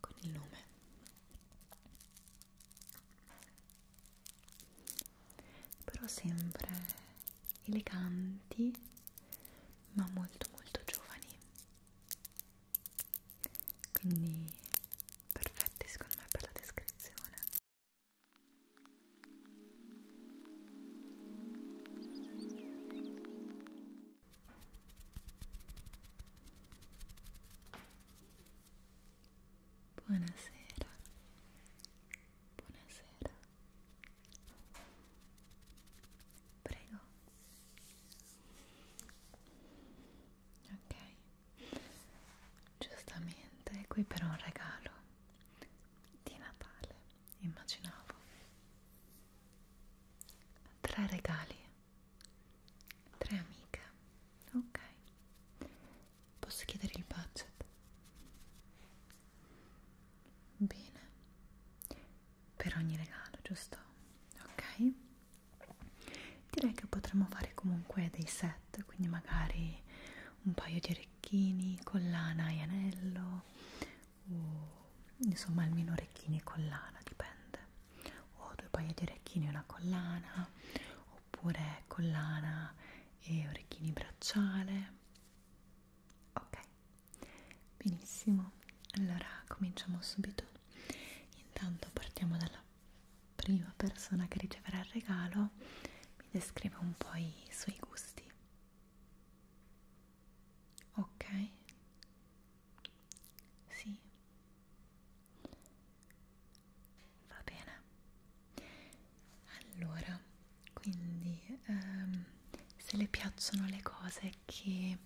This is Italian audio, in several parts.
con il nome però sempre eleganti ma molto molto giovani quindi perfetti secondo me per la descrizione buonasera buonasera prego ok giustamente qui per un regalo di Natale immaginavo tre regali tre amiche ok posso chiedere il budget bene per ogni regalo giusto ok direi che potremmo fare comunque dei set quindi magari un paio di orecchini collana e anello o insomma almeno orecchini e collana dipende o due paio di orecchini e una collana oppure collana e orecchini bracciale ok benissimo allora cominciamo subito intanto partiamo dalla prima persona che riceverà il regalo mi descrive un po' i suoi gusti. Ok? Sì. Va bene. Allora, quindi ehm, se le piacciono le cose che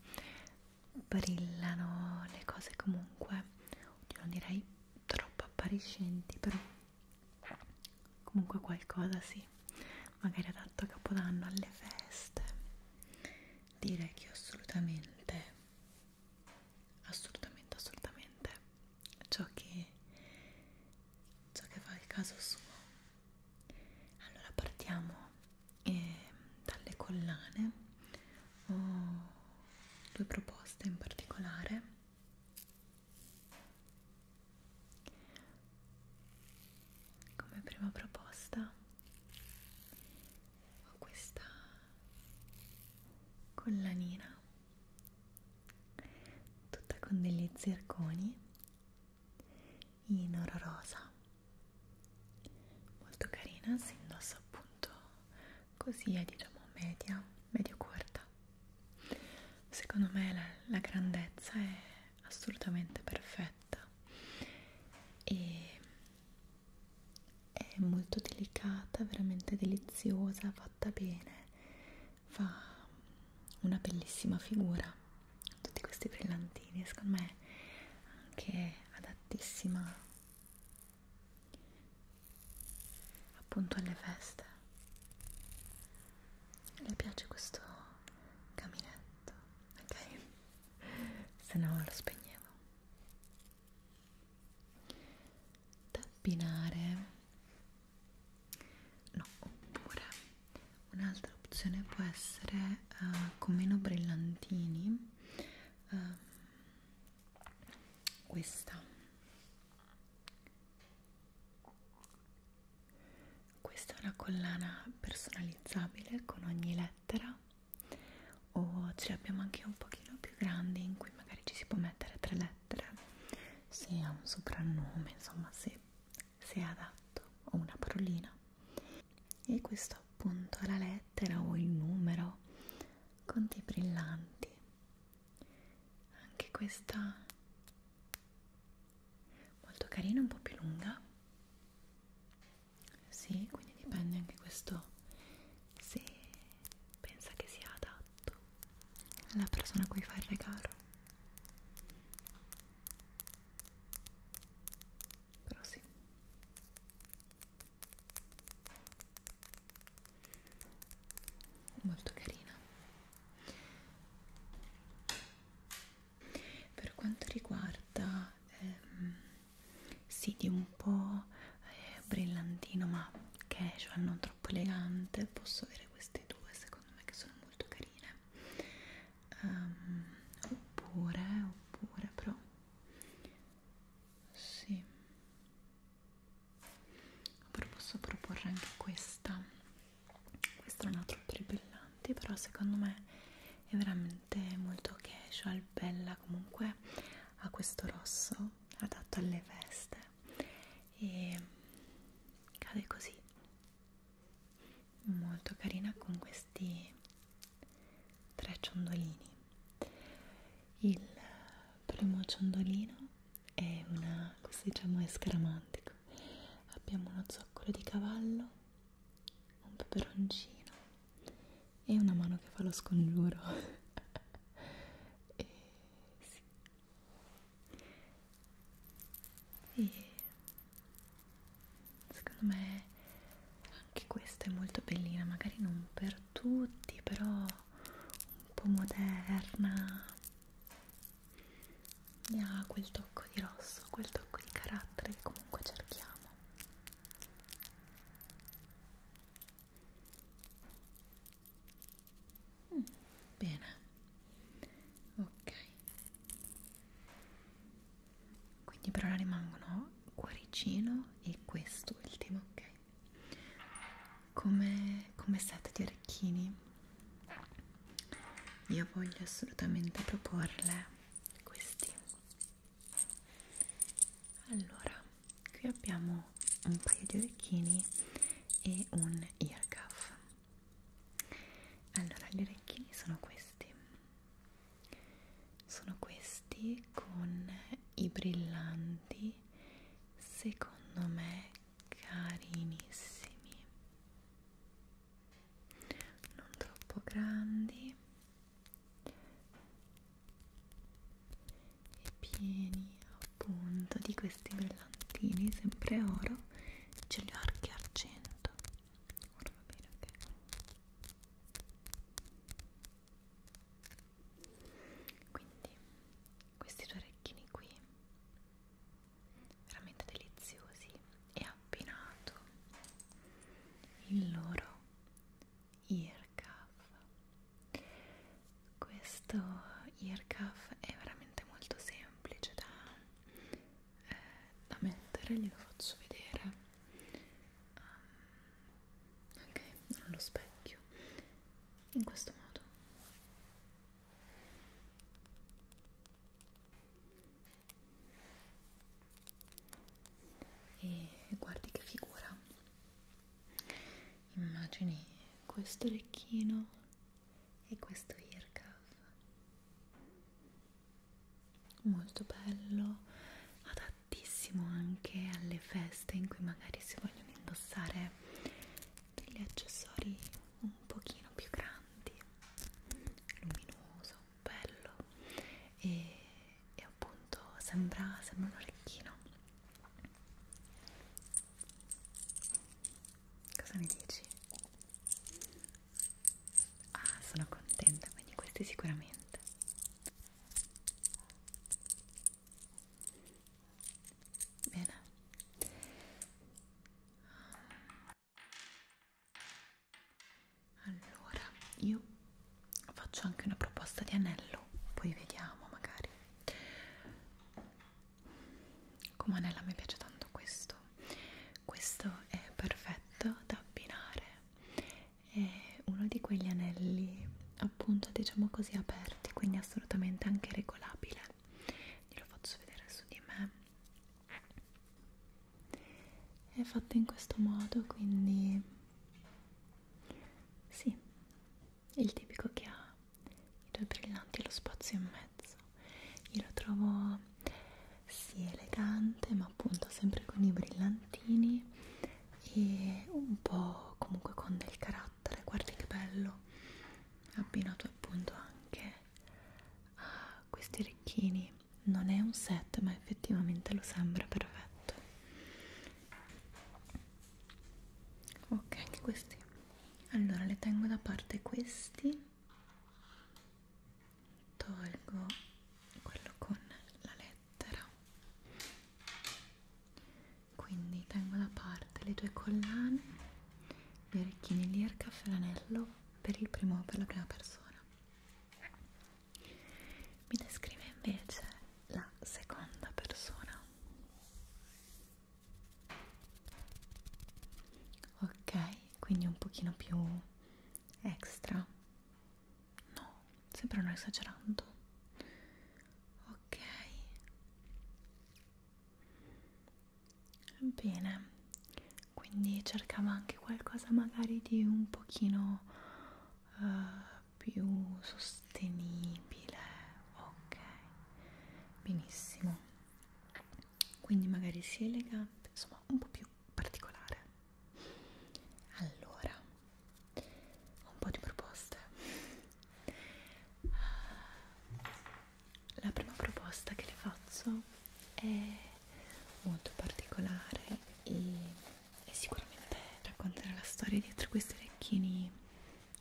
brillano le cose comunque Oddio, non direi troppo appariscenti però comunque qualcosa sì magari adatto a capodanno alle feste direi che assolutamente assolutamente assolutamente ciò che ciò che fa il caso suo allora partiamo e dalle collane ho due proposte in particolare come prima proposta ho questa collanina tutta con degli zirconi in oro rosa molto carina si indossa appunto così è diciamo media medio corta secondo me la, la grandezza è assolutamente perfetta e è molto delicata veramente deliziosa fatta bene fa una bellissima figura tutti questi brillantini secondo me anche adattissima appunto alle feste le piace questo caminetto ok se no lo spegnevo tappinare no oppure un'altra opzione può essere uh, con meno brillantini uh, questa questa è una collana personalizzabile con ogni lettera o ce l'abbiamo anche un pochino più grande in cui magari ci si può mettere tre lettere se ha un soprannome insomma se, se è adatto o una parolina e questo appunto è la lettera o il numero con dei brillanti anche questa molto carina un po' più lunga sì quindi dipende anche questo se pensa che sia adatto alla persona a cui fa il regalo però sì molto carina per quanto riguarda ehm, sì di un po' eh, brillantino ma casual non troppo elegante posso avere queste due secondo me che sono molto carine um, oppure oppure però sì. Però posso proporre anche questa. Questa non ha troppi brillanti, però secondo me è veramente molto casual, cioè, bella comunque ha questo rosso adatto alle veste e cade così molto carina con questi tre ciondolini. Il primo ciondolino è una, questo diciamo è scaramantico, abbiamo uno zoccolo di cavallo, un peperoncino e una mano che fa lo scongiuro. e, sì. e secondo me anche questa è molto bellina magari non per tutti però un po' moderna e ha quel tocco di rosso quel tocco di carattere che comunque cerchiamo mm, bene ok quindi per ora rimangono cuoricino e quest'ultimo ok come, come set di orecchini io voglio assolutamente proporle questi allora qui abbiamo un paio di orecchini e un earcuff allora gli orecchini sono questi sono questi con i brillanti secondo me carinissimi non troppo grandi e pieni appunto di questi brillantini sempre oro ce li ho anche argento ora va bene ok quindi questi due orecchini qui veramente deliziosi e abbinato il loro ear cuff questo ear cuff è veramente molto semplice da, eh, da mettere glielo faccio vedere um, ok, allo specchio in questo modo e guardi che figura immagini questo orecchino e questo earcuff molto bello adatto adattissimo anche alle feste in cui magari si vogliono indossare degli accessori un pochino più grandi luminoso, bello e, e appunto sembra, sembra un orecchino cosa ne dici? ah sono contenta quindi questi sicuramente Bene. Allora, io faccio anche una proposta di anello, poi vediamo magari. Come anello mi piace tanto questo. Questo è perfetto da abbinare è uno di quegli anelli appunto diciamo così aperti quindi assolutamente anche regolabile glielo faccio vedere su di me è fatto in questo modo quindi sì il tipico che ha i due brillanti e lo spazio in mezzo io lo trovo sì elegante ma appunto sempre con i brillantini e un po' comunque con del carattere guarda che bello abbinato appunto anche a questi orecchini non è un set ma effettivamente lo sembra perfetto ok anche questi allora le tengo da parte questi tolgo quello con la lettera quindi tengo da parte le due collane gli orecchini di e l'anello per, il primo, per la prima persona mi descrive invece la seconda persona ok quindi un pochino più extra No, sembrano esagerando. Ok. Bene. Quindi cercava anche qualcosa magari di un pochino uh, più sostenibile. Ok. Benissimo. Quindi magari sia elegante, insomma, un po' più particolare allora ho un po' di proposte la prima proposta che le faccio è molto particolare e, e sicuramente raccontare la storia dietro questi orecchini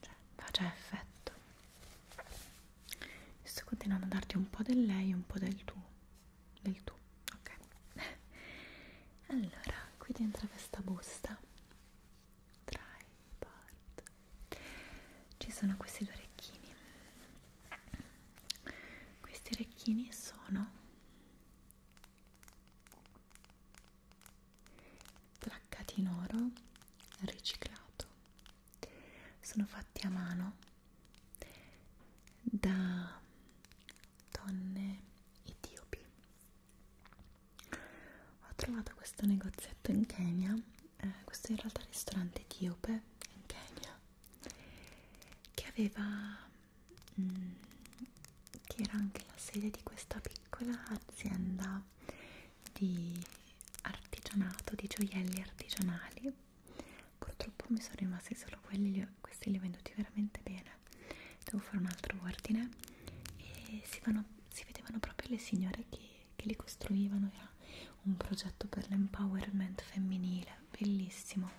cioè, fa già effetto sto continuando a darti un po' del lei e un po' del tu del tu, ok? Allora, qui dentro questa busta tripod ci sono questi due orecchini. Questi orecchini sono placcati in oro riciclato. Sono fatti a mano da donne etiopi ho trovato questo negozietto in Kenya eh, questo in realtà è il ristorante etiope in Kenya che aveva mh, mm, che era anche la sede di questa piccola azienda di artigianato di gioielli artigianali purtroppo mi sono rimasti solo quelli li ho, questi li ho venduti veramente bene devo fare un altro ordine e si, vanno, si vedevano proprio le signore che, che li costruivano era un progetto per l'empowerment femminile bellissimo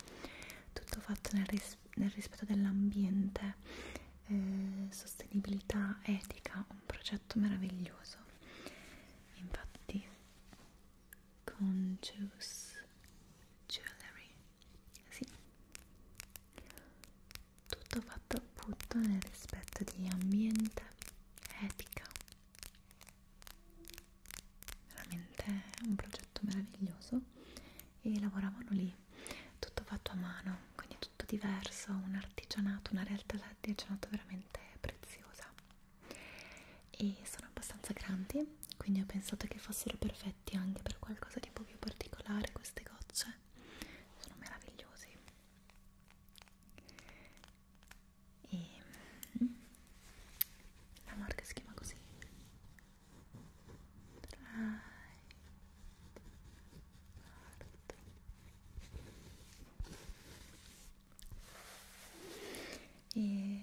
tutto fatto nel, ris nel rispetto dell'ambiente eh, sostenibilità etica un progetto meraviglioso infatti Conscious Jewelry sì, tutto fatto appunto nel rispetto di ambiente, etica. Veramente un progetto meraviglioso e lavoravano lì, tutto fatto a mano, quindi tutto diverso, un artigianato, una realtà di artigianato veramente preziosa. E sono abbastanza grandi, quindi ho pensato che fossero perfetti anche per qualcosa di un po' più particolare queste gocce sono meravigliosi e mm, la marca si chiama così Dried Art. e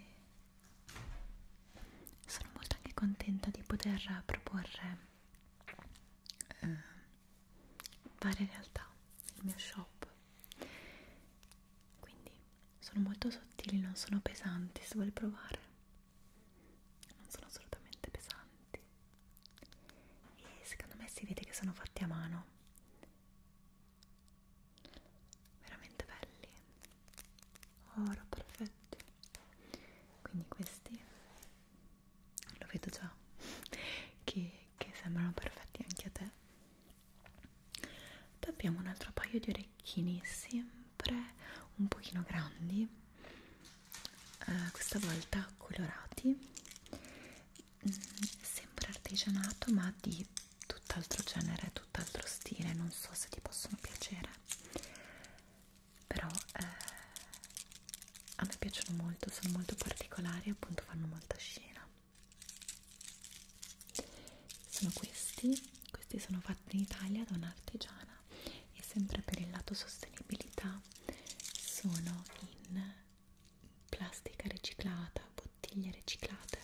sono molto anche contenta di poter proporre eh, varie realtà nel mio shop quindi sono molto sottili non sono pesanti se vuoi provare non sono assolutamente pesanti e secondo me si vede che sono fatti a mano veramente belli oro perfetto quindi questi lo vedo già che, che sembrano perfetti anche a te poi abbiamo un altro paio di orecchini sempre un pochino grandi eh, questa volta colorati mm, sempre artigianato ma di tutt'altro genere tutt'altro stile non so se ti possono piacere però eh, a me piacciono molto sono molto particolari e appunto fanno molta scena sono questi questi sono fatti in Italia da un'artigiana e sempre per il lato sostenibilità sono in plastica riciclata, bottiglie riciclate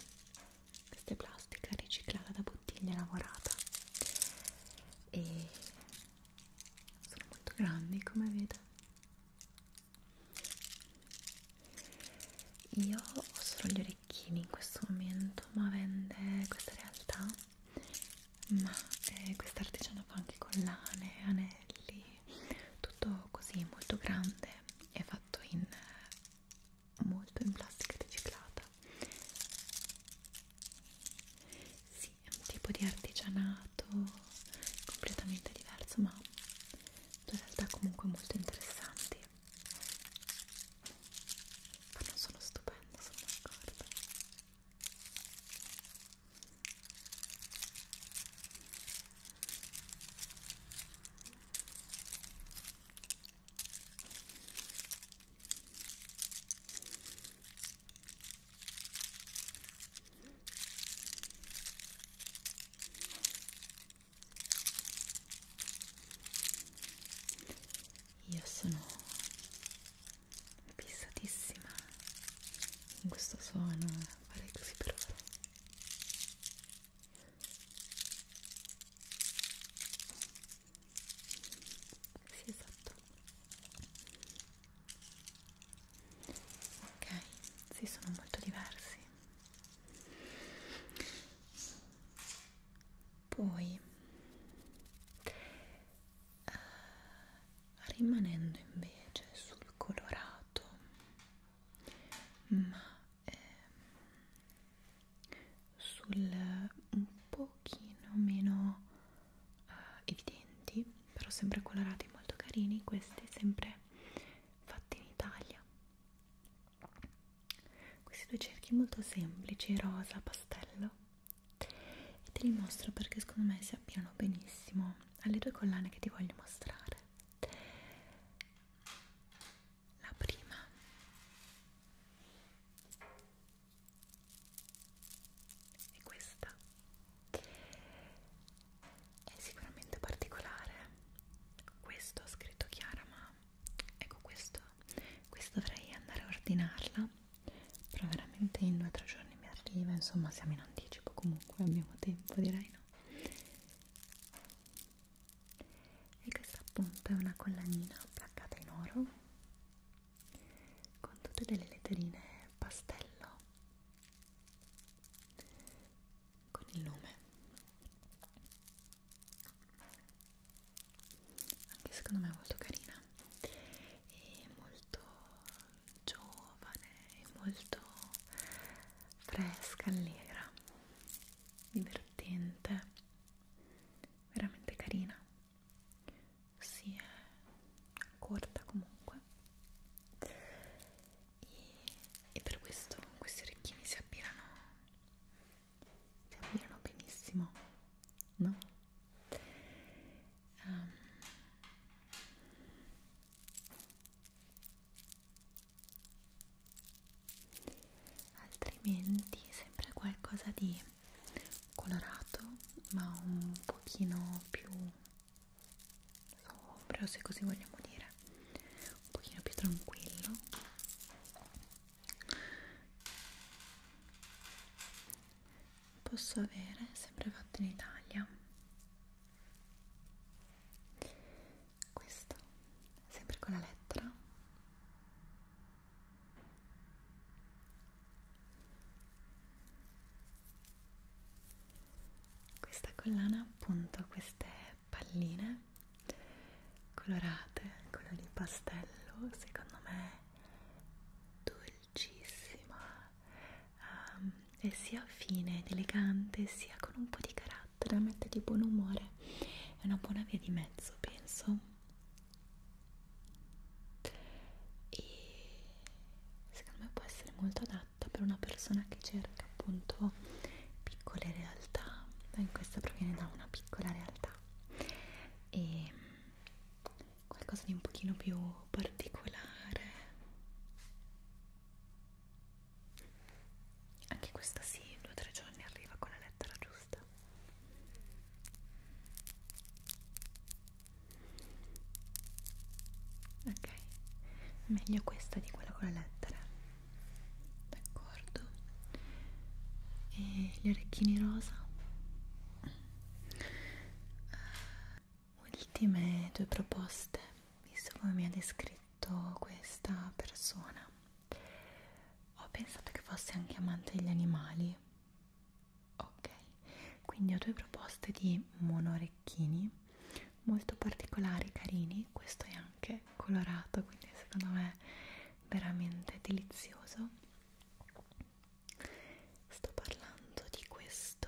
questa è plastica riciclata da bottiglie lavorata e sono molto grandi come vedo io ho solo gli orecchini in questo momento ma vende questa realtà ma eh, questa artigiana fa anche collane, anelli tutto così molto grande è fatto in molto in plastica riciclata sì, è un tipo di artigianato completamente diverso ma in realtà comunque molto interessanti fanno sono stupendo, sono d'accordo io sono fissatissima in questo suono, farei così per ora sì esatto ok sì sono molto diversi poi eh, rimanendo invece sul colorato ma ehm, sul un pochino meno eh, evidenti però sempre colorati molto carini questi sempre fatti in Italia questi due cerchi molto semplici rosa pastello e te li mostro perché secondo me si appiano benissimo alle due collane che ti voglio mostrare la prima è questa è sicuramente particolare questo ho scritto Chiara ma ecco questo questo dovrei andare a ordinarla però veramente in due o tre giorni mi arriva insomma siamo in anticipo comunque abbiamo tempo direi no e questa appunto è una collanina placcata in oro con tutte delle letterine pastello con il nome anche secondo me è molto carina e molto giovane e molto fresca, allegra divertente veramente carina si sì, è corta comunque e, e per questo questi orecchini si abbinano si abbinano benissimo no? Um, altrimenti sempre qualcosa di colorato ma un pochino più sobrio se così vogliamo dire un pochino più tranquillo posso avere sempre fatto in Italia questo sempre con la lettera questa collana appunto queste palline colorate, colori pastello, secondo me dolcissima um, ehm, e sia fine ed elegante sia con un po' di carattere, mette di buon umore, è una buona via di mezzo penso e secondo me può essere molto adatta per una persona che cerca appunto piccole realtà in questa proviene da una piccola realtà e qualcosa di un pochino più particolare anche questa sì, due o tre giorni arriva con la lettera giusta gusta ok meglio questa di quella con le lettere d'accordo e gli orecchini rosa eh, ultime due proposte visto come mi ha descritto questa persona ho pensato che fosse anche amante degli animali ok quindi ho due proposte di monorecchini molto particolari carini questo è anche colorato quindi secondo me è veramente delizioso sto parlando di questo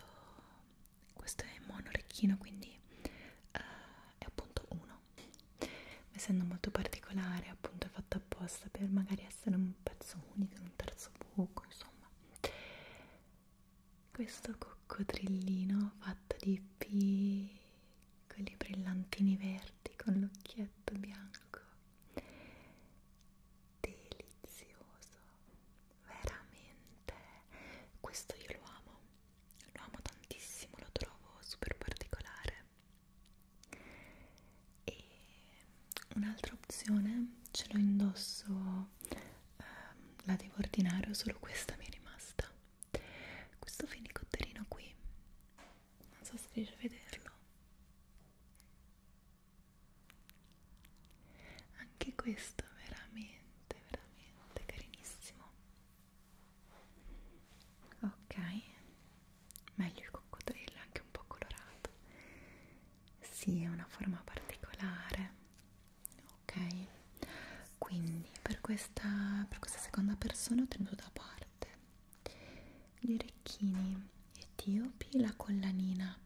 questo è monorecchino quindi uh, è appunto uno essendo molto particolare appunto è fatta apposta per magari essere un pezzo unico in un terzo buco insomma questo coccodrillino fatto di piccoli brillantini verdi con l'occhietto bianco delizioso veramente questo io lo amo lo amo tantissimo lo trovo super particolare e un'altra opzione ce l'ho indosso eh, la devo ordinare o solo questa mi è rimasta questo finicotterino qui non so se riesci a vederlo anche questo veramente veramente carinissimo ok meglio il coccodrillo è anche un po' colorato sì è una forma particolare ok quindi per questa, per questa seconda persona ho tenuto da parte gli orecchini etiopi la collanina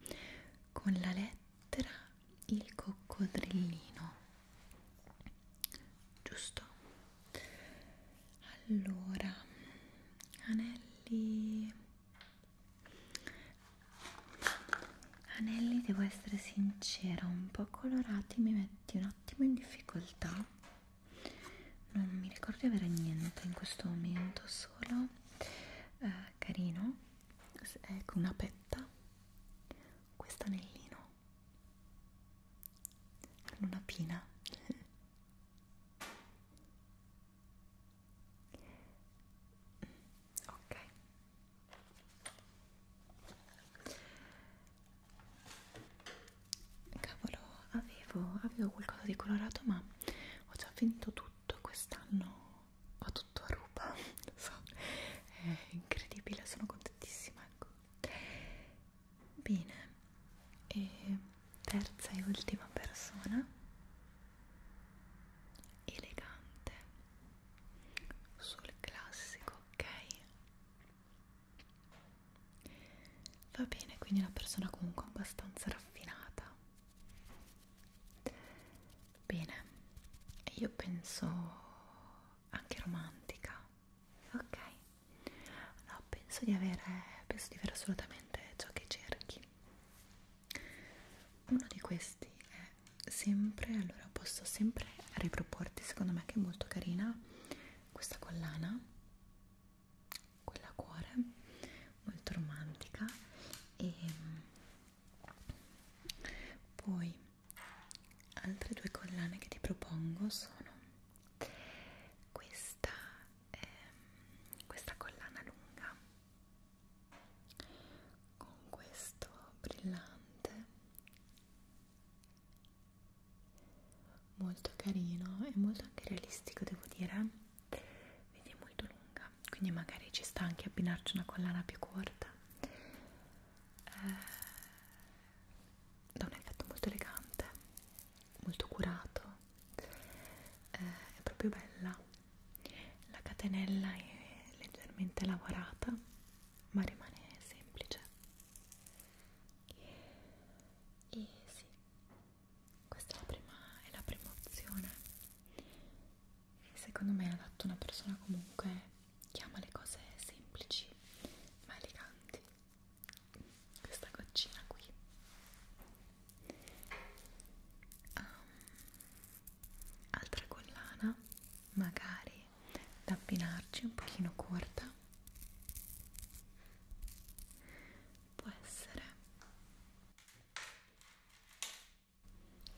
con la lettera il coccodrillino giusto allora anelli anelli devo essere sincera un po' colorati mi metti un attimo in difficoltà non mi ricordo di avere niente in questo momento solo eh, carino ecco una petta questo anellino con una pina ok cavolo avevo, avevo qualcosa di colorato ma ho già finito tutto quest'anno ho tutto a ruba so, è incredibile sono contentissima ecco Bene, e terza e ultima persona, elegante, sul classico, ok? Va bene, quindi una persona comunque abbastanza raffinata. Bene, io penso anche romantica, ok? No, penso di avere, penso di avere assolutamente ciò che cerchi. Uno di questi è sempre, allora posso sempre riproporti, secondo me che è molto carina, questa collana, quella a cuore, molto romantica e poi altre due collane che ti propongo sono questa, ehm, questa collana lunga con questo brillante molto carino e molto anche realistico devo dire vedi è molto lunga quindi magari ci sta anche abbinarci una collana più corta eh, dà un effetto molto elegante, molto curato, eh, è proprio bella. La catenella è leggermente lavorata, ma rimane semplice. E sì, questa è la prima, è la prima opzione. Secondo me è adatto a una persona comunque che ama le cose semplici ma eleganti questa goccina qui um, altra collana magari da abbinarci un pochino corta può essere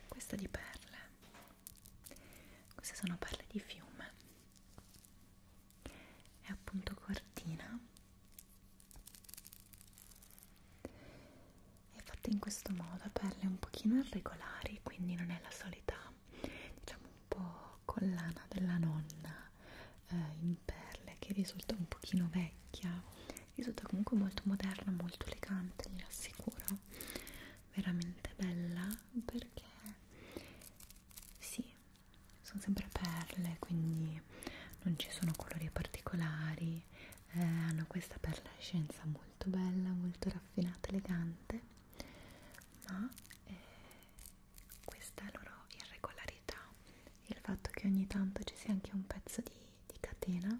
questa di perle queste sono perle di fiume è appunto cortina è fatta in questo modo a perle un pochino irregolari quindi non è la solita diciamo un po' collana della nonna eh, in perle che risulta un pochino vecchia risulta comunque molto moderna molto elegante vi assicuro veramente bella perché sì sono sempre perle quindi non ci sono colori particolari eh, hanno questa perlescenza molto bella molto raffinata elegante ma eh, questa loro irregolarità il fatto che ogni tanto ci sia anche un pezzo di, di catena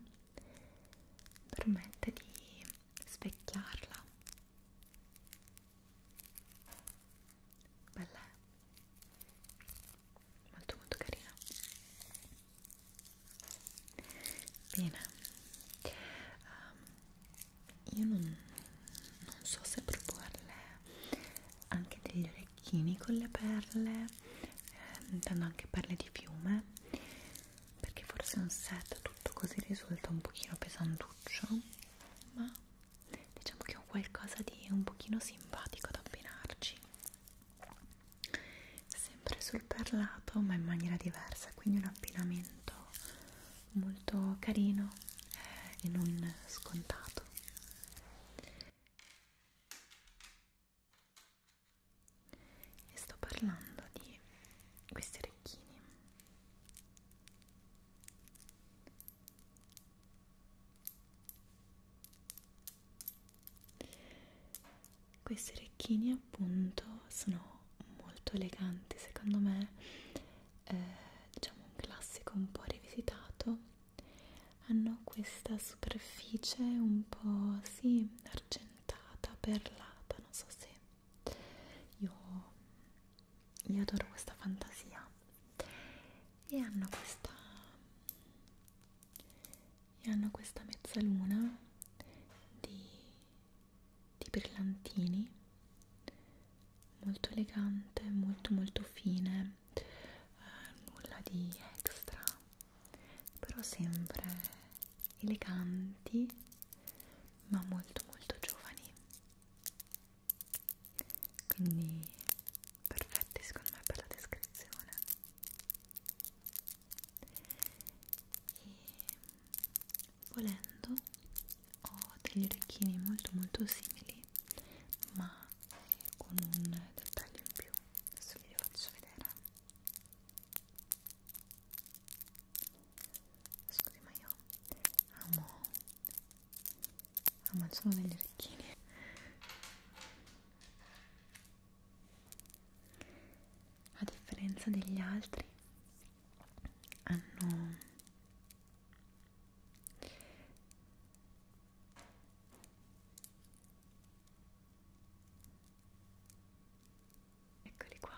permette di specchiarla bella eh? molto molto carina bene um, io non, non so se proporle anche degli orecchini con le perle eh, intendo anche perle di fiume perché forse un set tutto così risulta un pochino pesantuccio ma diciamo che è un qualcosa di un pochino simpatico da abbinarci sempre sul perlato ma in maniera diversa quindi un abbinamento molto carino eh, e non scontato e sto parlando di questi orecchini questi orecchini appunto sono molto eleganti secondo me, eh, diciamo un classico un po' rivisitato, hanno questa superficie un po' sì argentata, perlata, non so se io io adoro questa fantasia e hanno questa e hanno questa mezzaluna di, di brillantini molto elegante molto molto fine eh, nulla di extra però sempre eleganti ma molto molto giovani quindi perfetti secondo me per la descrizione e volendo ho degli orecchini molto molto simili ma con un dettaglio in più adesso vi faccio vedere scusi ma io amo Ah, ma sono degli orecchini. A differenza degli altri, hanno eccoli qua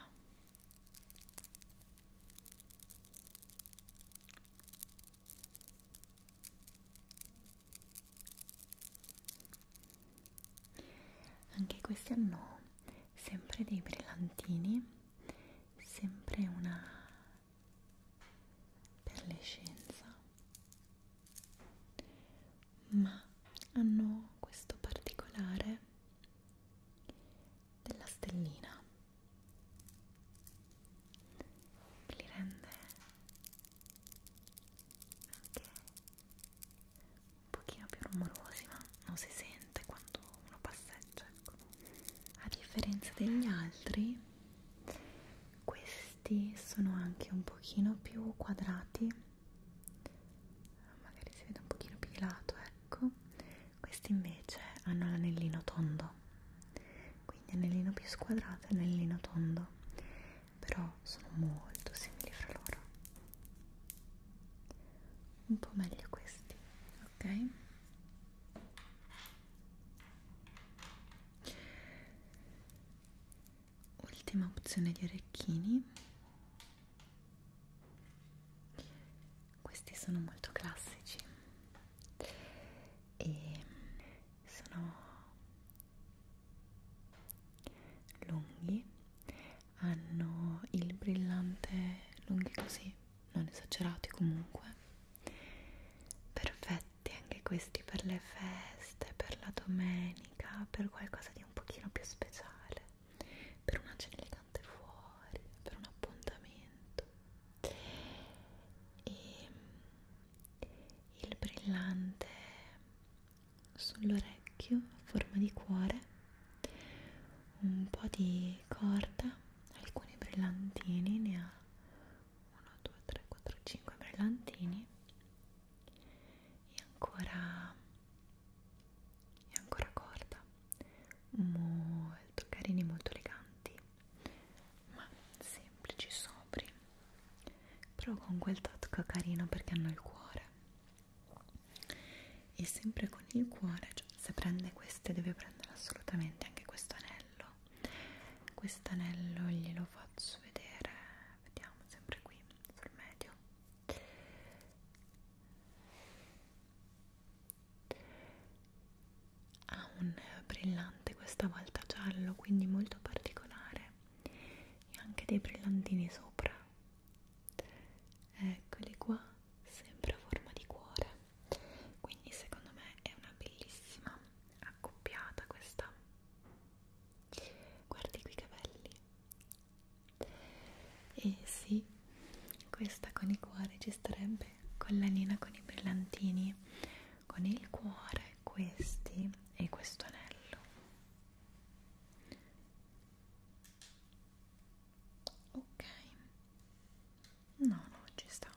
anche questi hanno sempre dei brillantini, sempre una perlescenza, ma hanno questo particolare della stellina che li rende anche un pochino più rumorosi ma non si sente quando uno passeggia ecco. a differenza degli altri questi sono anche un pochino più quadrati magari si vede un pochino più di lato ecco questi invece hanno l'anellino tondo, quindi anellino più squadrato e anellino tondo, però sono molto simili fra loro. Un po' meglio questi, ok? Ultima opzione di orecchini questi sono molto classici e sono lunghi hanno il brillante lunghi così non esagerati comunque perfetti anche questi per le feste per la domenica per qualcosa di un pochino più speciale per una cena istante fuori per un appuntamento e il brillante sull'orecchio a forma di cuore un po' di corda alcuni brillantini ne ha 1 2 3 4 5 brillantini e ancora e ancora corda molto carini, molto eleganti, ma semplici, sobri, però con quel tocco carino perché hanno il cuore. E sempre con il cuore, cioè, se prende queste deve prendere assolutamente anche questo anello. Quest'anello glielo faccio vedere, vediamo sempre qui sul medio ha un brillante questa volta giallo quindi molto particolare e anche dei brillantini sopra eccoli qua sempre a forma di cuore quindi secondo me è una bellissima accoppiata questa guardi qui i capelli e sì questa con i cuori ci starebbe collanina con i brillantini con il cuore questi e questo anello ok no no ci sta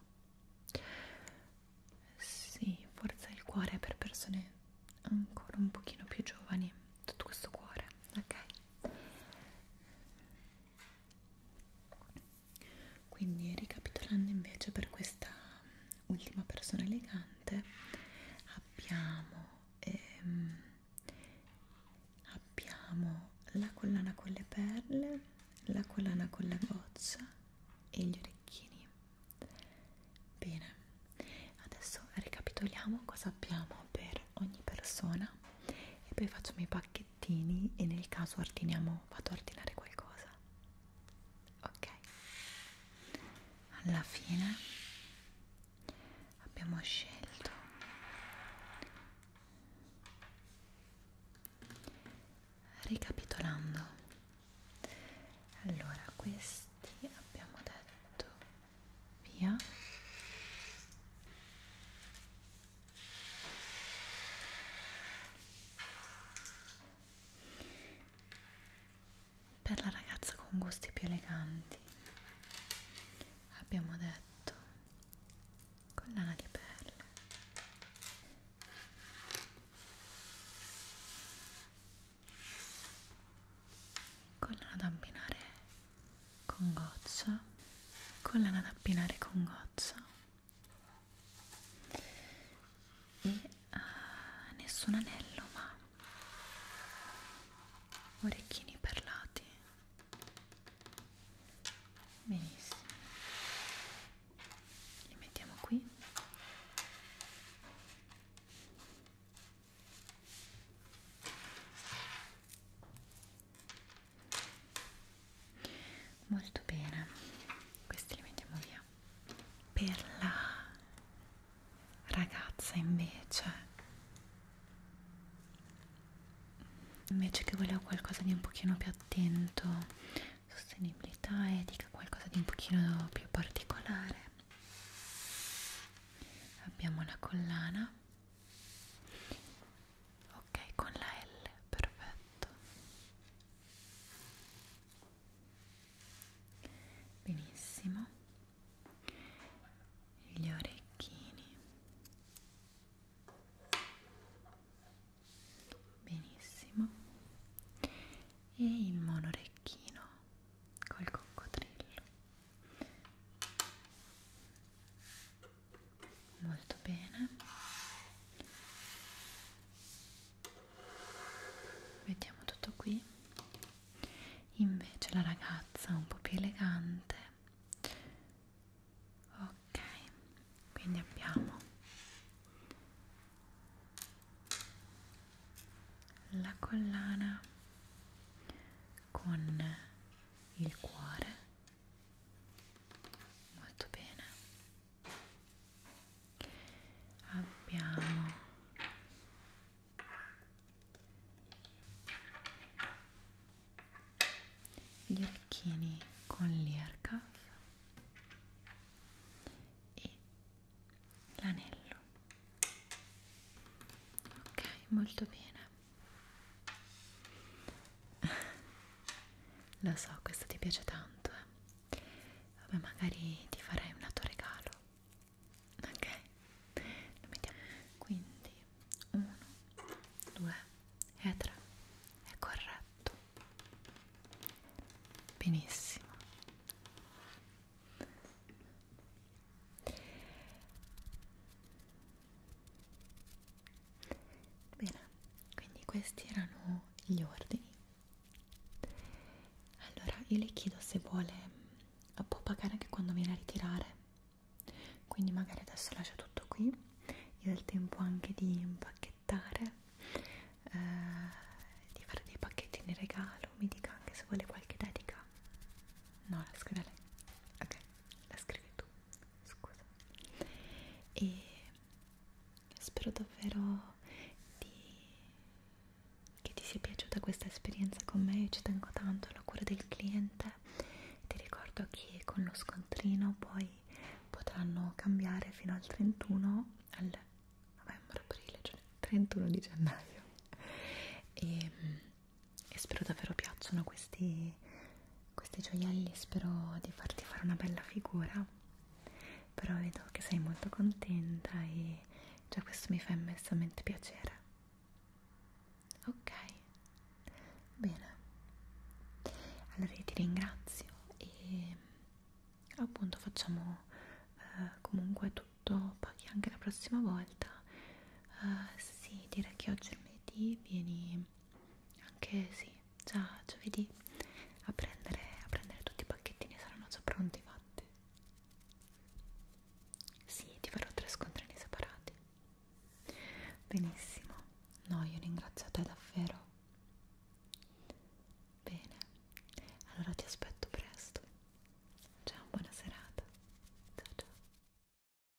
sì forza il cuore per persone ancora un pochino più giovani tutto questo cuore ok quindi ricapitolando invece per questa ultima persona elegante abbiamo, ehm, abbiamo la collana con le perle, la collana con la goccia e gli orecchini. Bene, adesso ricapitoliamo cosa abbiamo per ogni persona e poi facciamo i pacchetti piattini e nel caso ordiniamo, vado a ordinare qualcosa. Ok. Alla fine abbiamo scelto Ricapitolando, allora questi abbiamo detto via per la ragazza con gusti più eleganti abbiamo detto collana di perle collana da abbinare con goccia, collana da abbinare con goccia e uh, nessun anello ma orecchini perlati benissimo li mettiamo qui molto bene questi li mettiamo via per la ragazza invece invece che voleva qualcosa di un pochino più attento sostenibilità etica qualcosa di un pochino più particolare abbiamo la collana ok con la L perfetto benissimo gli orecchini benissimo e il monorecchino col coccodrillo molto bene mettiamo tutto qui invece la ragazza un po' più elegante ok quindi abbiamo la collana con il cuore molto bene abbiamo gli orecchini con l'earcuff e l'anello ok molto bene Lo so, questo ti piace tanto, eh. Vabbè, magari ti farei un altro regalo. Ok? Lo mettiamo. Quindi, 1, 2 e 3. È corretto. Benissimo. Bene, quindi questi erano gli ordini. Allora, io le chiedo se vuole, mm, può pagare anche quando viene a ritirare. Quindi magari adesso lascia tutto qui, io ho il tempo anche di impacchettare, eh, di fare dei pacchettini regalo, mi dica anche se vuole qualche dedica. No, la scrive lei. Ok, la scrivi tu scusa e spero davvero di... che ti sia piaciuta questa esperienza con me, io ci tengo tanto alla cura del cliente ti ricordo che con lo scontrino poi potranno cambiare fino al 31 al novembre, aprile, cioè 31 di gennaio e ehm, e spero davvero piacciono questi, questi gioielli, spero di farti fare una bella figura, però vedo che sei molto contenta e già questo mi fa immensamente piacere. Ok, bene, allora io ti ringrazio e appunto facciamo eh, comunque tutto, paghi anche la prossima volta. Uh, sì, direi che oggi lunedì vieni anche sì, già giovedì a prendere, a prendere tutti i pacchettini saranno già pronti fatti sì, ti farò tre scontrini separati benissimo no, io ringrazio te davvero bene allora ti aspetto presto ciao, buona serata ciao ciao